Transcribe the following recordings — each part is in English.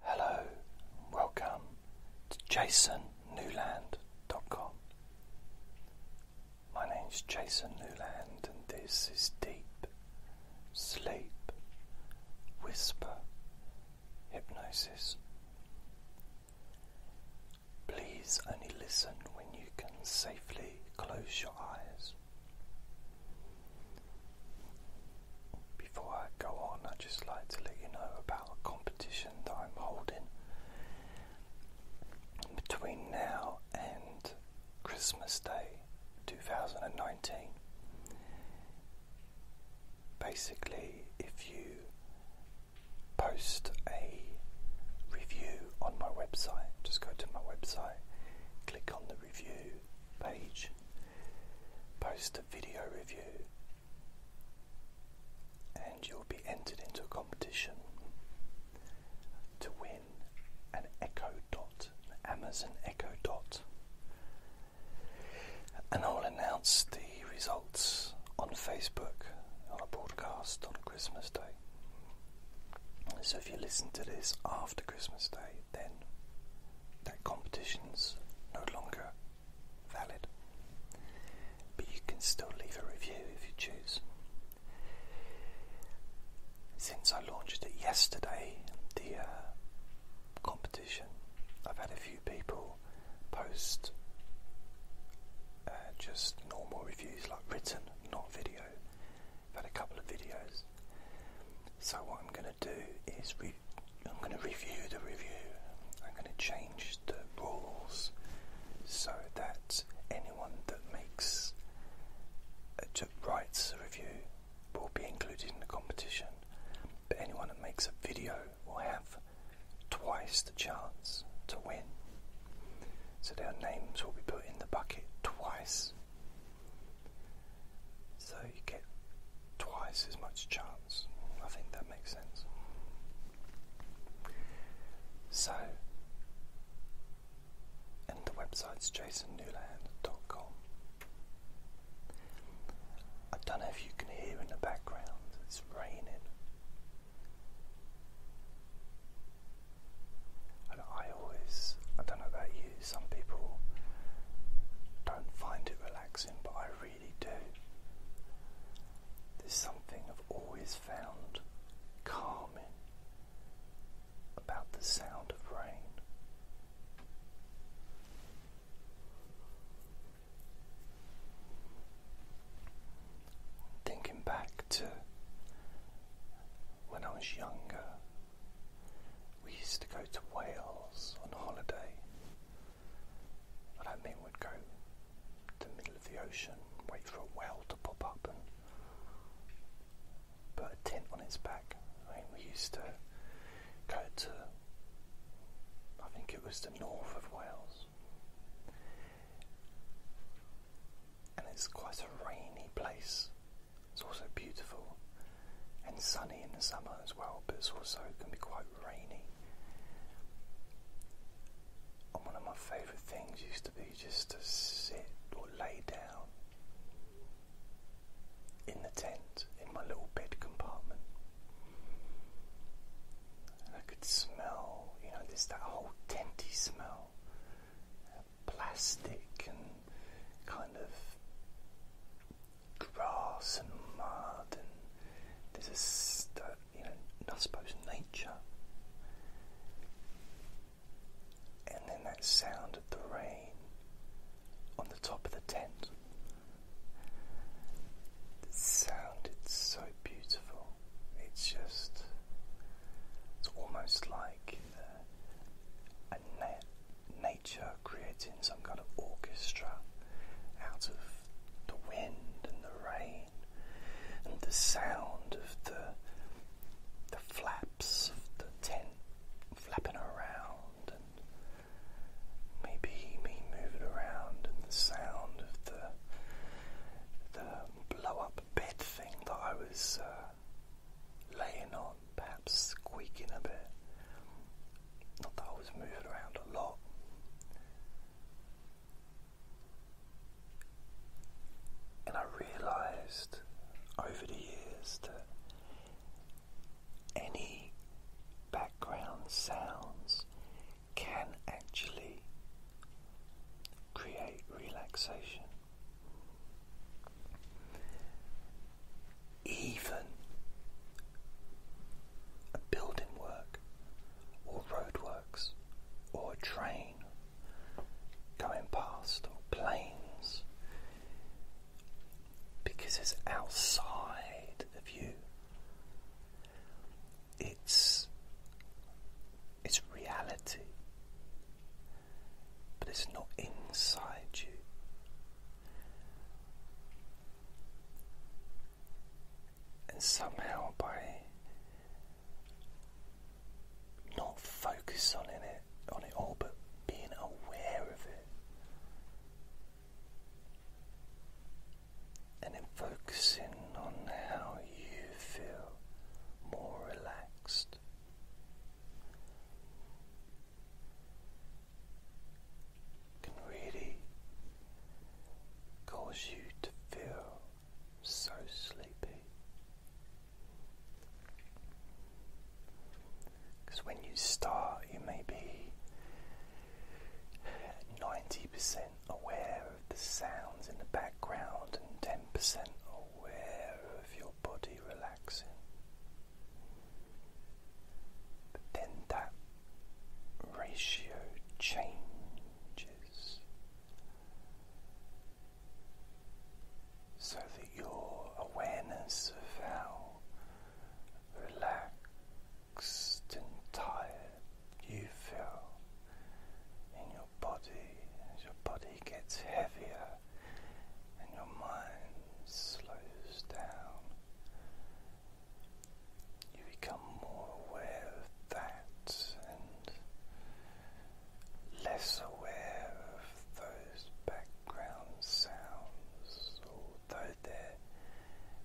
Hello, welcome to jasonnewland.com. My name's Jason Newland, and this is Deep Sleep Whisper Hypnosis. Please only listen when you can safely close your eyes. Before I go on, I'd just like to let you know about a competition that I'm holding between now and Christmas Day 2019. Basically, if you post a review on my website, just go to my website, click on the review, page, post a video review, and you'll be entered into a competition to win an Echo Dot, Amazon Echo Dot. And I will announce the results on Facebook on a broadcast on Christmas Day. So if you listen to this after Christmas Day, then that competition's no longer valid. But you can still leave a review if you choose. Since I launched it yesterday, the uh, competition, I've had a few people post uh, just normal reviews, like written, not video. I've had a couple of videos. So, what I'm going to do is I'm going to review the review. I'm going to change the rules so that anyone that makes a, writes a review will be included in the competition. But anyone that makes a video will have twice the chance to win. So their names will be put in the bucket twice so you get twice as much chance. I think that makes sense. So, and the website's jasonnewland.com. I don't know if you can hear in the background, it's raining. I don't know about you, some people don't find it relaxing, but I really do. There's something I've always found calming about the sound of rain. Thinking back to when I was younger, we used to go to Wales on holiday. I don't mean we'd go to the middle of the ocean, wait for a whale to pop up and put a tent on its back. I mean, we used to go to, I think it was the north of Wales. And it's quite a rainy place. It's also beautiful and sunny in the summer as well, but it's also can be quite rainy. And one of my favourite things used to be just to sit or lay down in the tent, in my little bed compartment. And I could smell, you know, there's that whole tenty smell plastic and kind of grass and mud and there's a uh, you know I suppose nature and then that sound of the rain on the top of the tent it sounded so beautiful it's just it's almost like a net nature creating some kind of orchestra out of the wind and the rain and the sound of the the flaps of the tent flapping around and maybe me moving around and the sound of the the blow up bed thing that I was uh, laying on, perhaps squeaking a bit. Not that I was moving around a lot. And I realized over the years that any background sounds can actually create relaxation. Even a building work or roadworks or a train going past or planes because it's outside of you. It's it's reality but it's not inside you. And somehow, by not focusing on it, on it all, but being aware of it, and then focusing on how you feel more relaxed can really cause you to feel so sleepy. Because when you start, you may be 90% aware of the sounds in the background and 10% aware of your body relaxing. then that ratio changes so that your awareness of how relaxed and tired you feel in your body body as your body gets heavier and your mind slows down. You become more aware of that and less aware of those background sounds, although they're,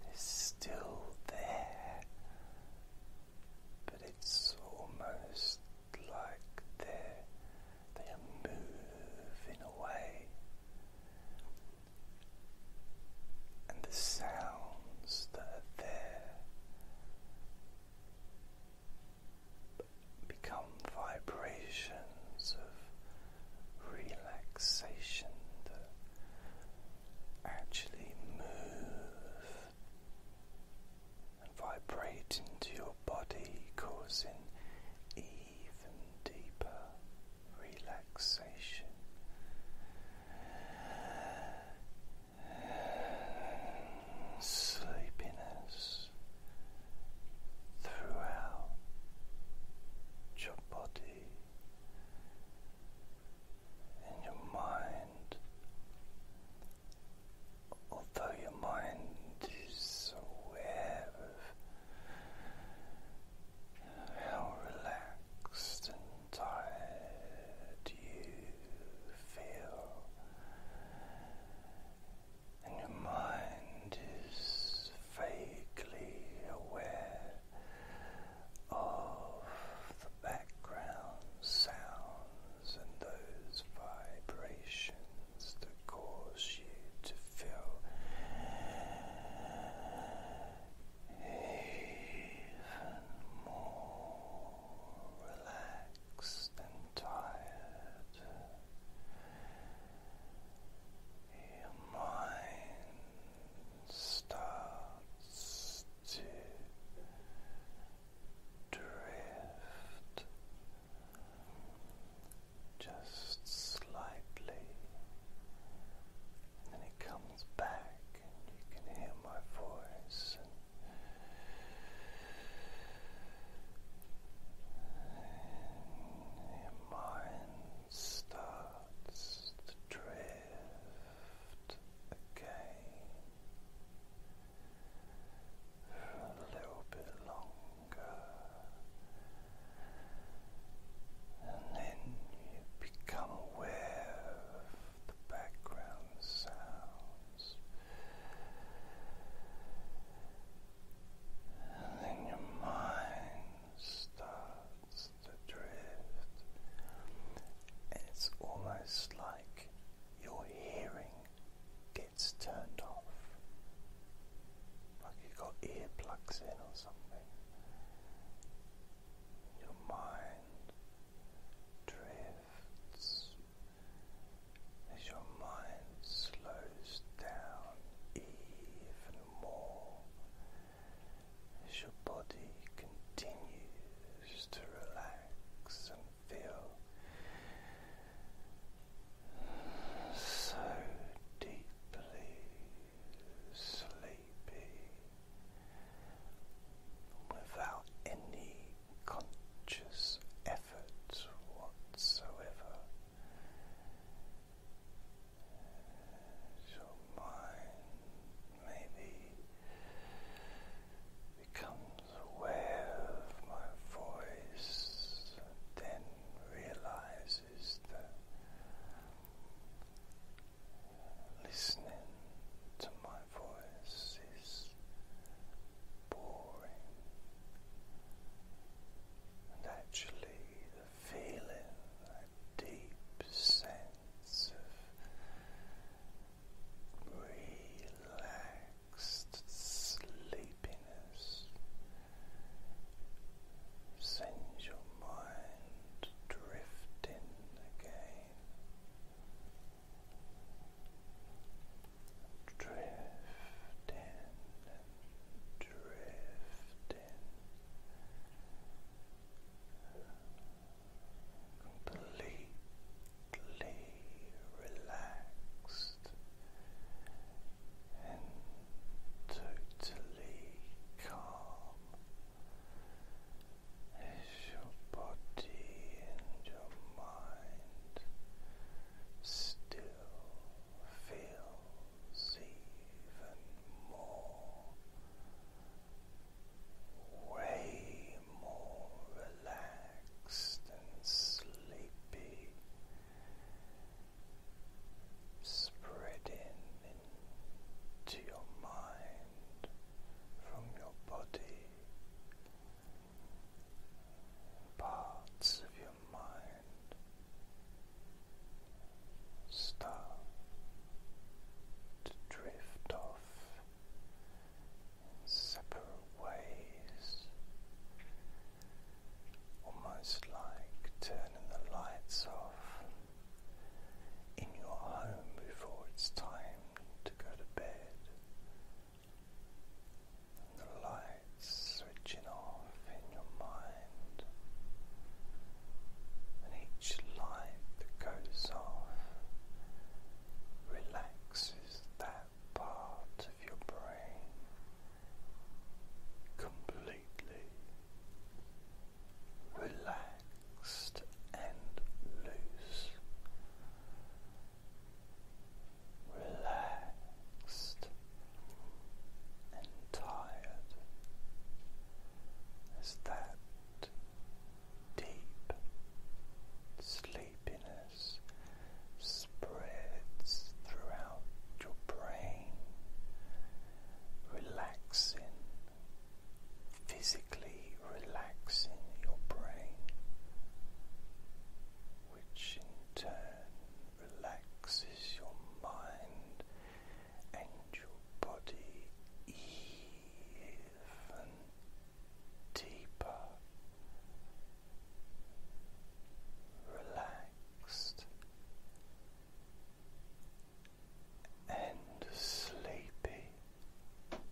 they're still there, but it's almost like they they are moving away. And the sounds that are there become vibrations of relaxation that actually move and vibrate into your body, causing even deeper relaxation. Sleepiness throughout your body and your mind although your mind is aware of how relaxed and tired you feel, and your mind is vaguely aware of the background sounds and those vibrations that cause you to feel even more relaxed and tired. Your mind starts to drift just slightly, and then it comes back, and you can hear my voice. And your mind starts to drift again for a little bit longer, and then you become aware of the background sounds. And then your mind starts to drift, and it's almost like your hearing gets turned off. Like you've got earplugs in or something. Your mind drifts as your mind slows down even more, as your body continues to relax feel so deeply sleepy without any conscious effort whatsoever. Your mind maybe becomes aware of my voice and then realizes that listening to my voice is boring and actually the feeling that deep sense of relaxed sleepiness sends your mind drifting again. Drifting drifting completely relaxed and totally calm as your body and your mind still feels even more way more relaxed and sleepy, spreading into your mind from your body, parts of your mind start to drift off separate ways, almost like turning the lights off in your home before it's time to go to bed. And the lights switching off in your mind, and each light light goes off relaxes that part of your brain completely relaxed and loose. Relaxed and tired as that deep sleepiness spreads throughout your brain, relaxing, physically relaxing your brain, which in turn relaxes your mind and your body even deeper relaxed and sleepy. Even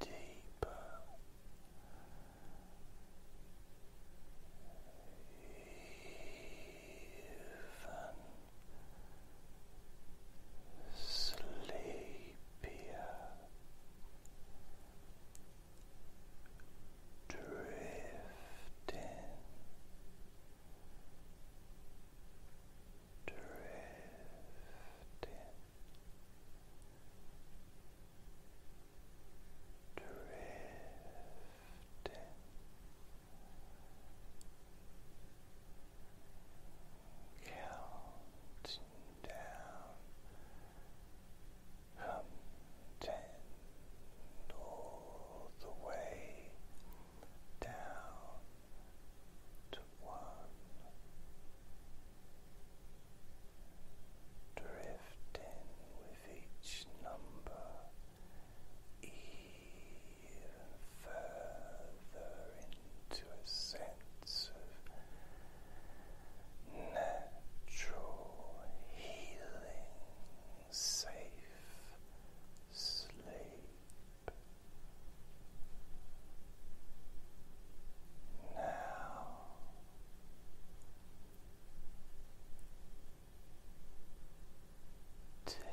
deeper even sleepier, drifting, drifting drifting counting down from ten all the way down to one drifting with each number even further into a sense of natural healing, safe sleep. Now ten drifting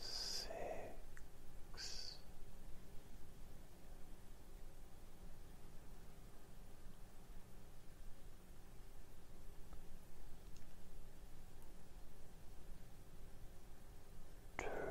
six. Drifting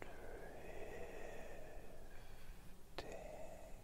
Four, drifting